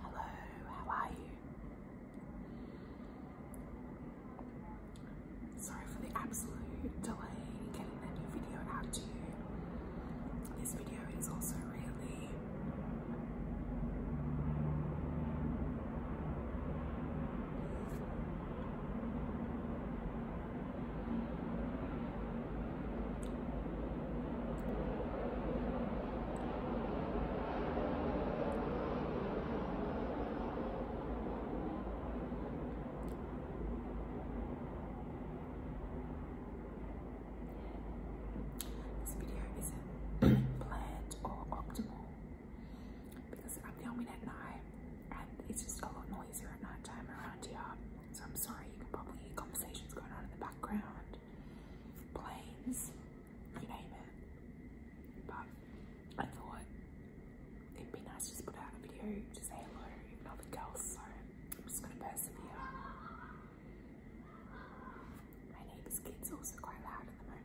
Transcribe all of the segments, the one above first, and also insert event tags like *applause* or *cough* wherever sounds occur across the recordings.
Hello, how are you? Sorry for the absolute delay getting that new video out to you. This video is also really this video isn't *clears throat* planned or optimal because I'm filming at night and it's just a lot noisier at night time around here. So I'm sorry, you can probably hear conversations going on in the background, planes, you name it. But I thought it'd be nice just put out a video to say hello, nothing else. So I'm just gonna persevere. My neighbor's kids also quite loud at the moment.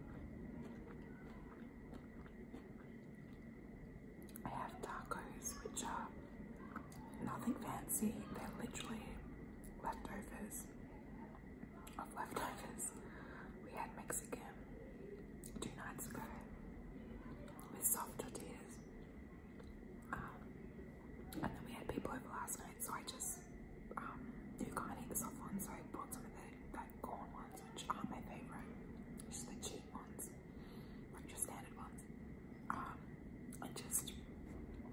I have tacos, which are nothing fancy, they're literally leftovers of leftovers. We had Mexican two nights ago with soft tortillas. Um, and then we had people over last night it, so I just um, you can't eat the soft ones, so I bought some of the like corn ones, which aren't my favourite, just the cheap ones, like your standard ones. Um, and just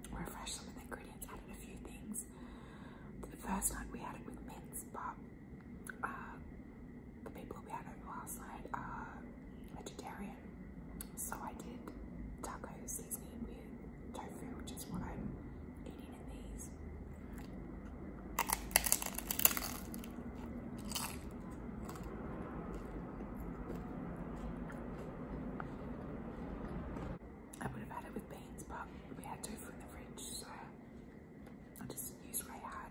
refresh some of the ingredients, added a few things. The first night we had it with mints, but uh, the people we had over last night are vegetarian, so I did taco seasoning with tofu, which is what I'm eating in these. I would have had it with beans, but we had tofu in the fridge, so I just used what I had.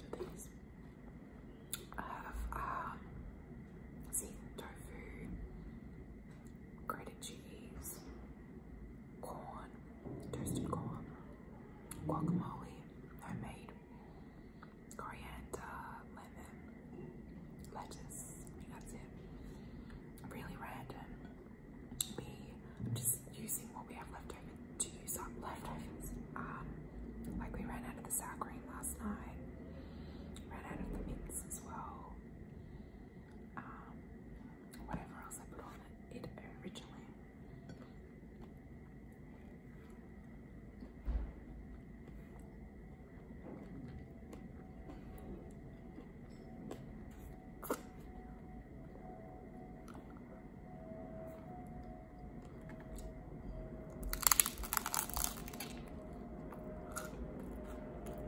So these have uh, seasoned tofu, grated cheese, corn, toasted corn, guacamole, homemade, coriander, lemon, lettuce. I think that's it. Really random. We just using what we have left over to use up leftovers. Um, like we ran out of the sour last night. Ran out of the mints as well um, whatever else I put on it, it originally.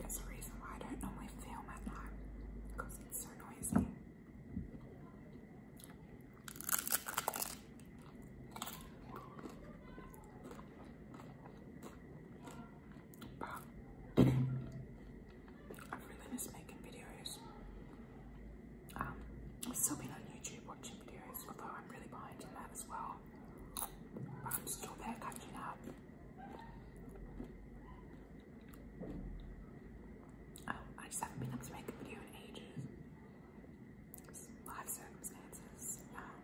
That's the reason why I don't normally film at night because it's so noisy. But *coughs* I really miss making videos. Um, I've still been on YouTube watching videos, although I'm really behind in that as well. I'm still there catching up. Oh, I just haven't been able to make a video in ages. life circumstances. Um,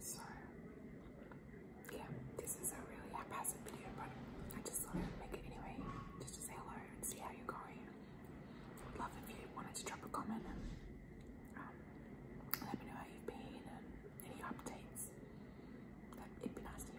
so, yeah, this is a really haphazard video, but I just thought i make it anyway, just to say hello and see how you're going. would love if you wanted to drop a comment um, let me know and any updates. That, it'd be nice to you.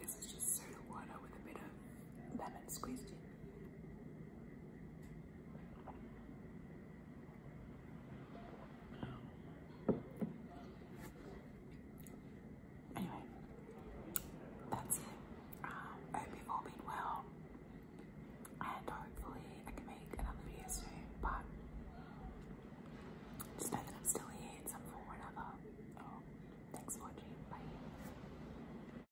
This is just soda water with a bit of lemon squeezed in. Anyway, that's it. Um, I hope you all been well, and hopefully I can make another video soon. But just I'm still here in some form another. Oh, thanks for watching. Bye.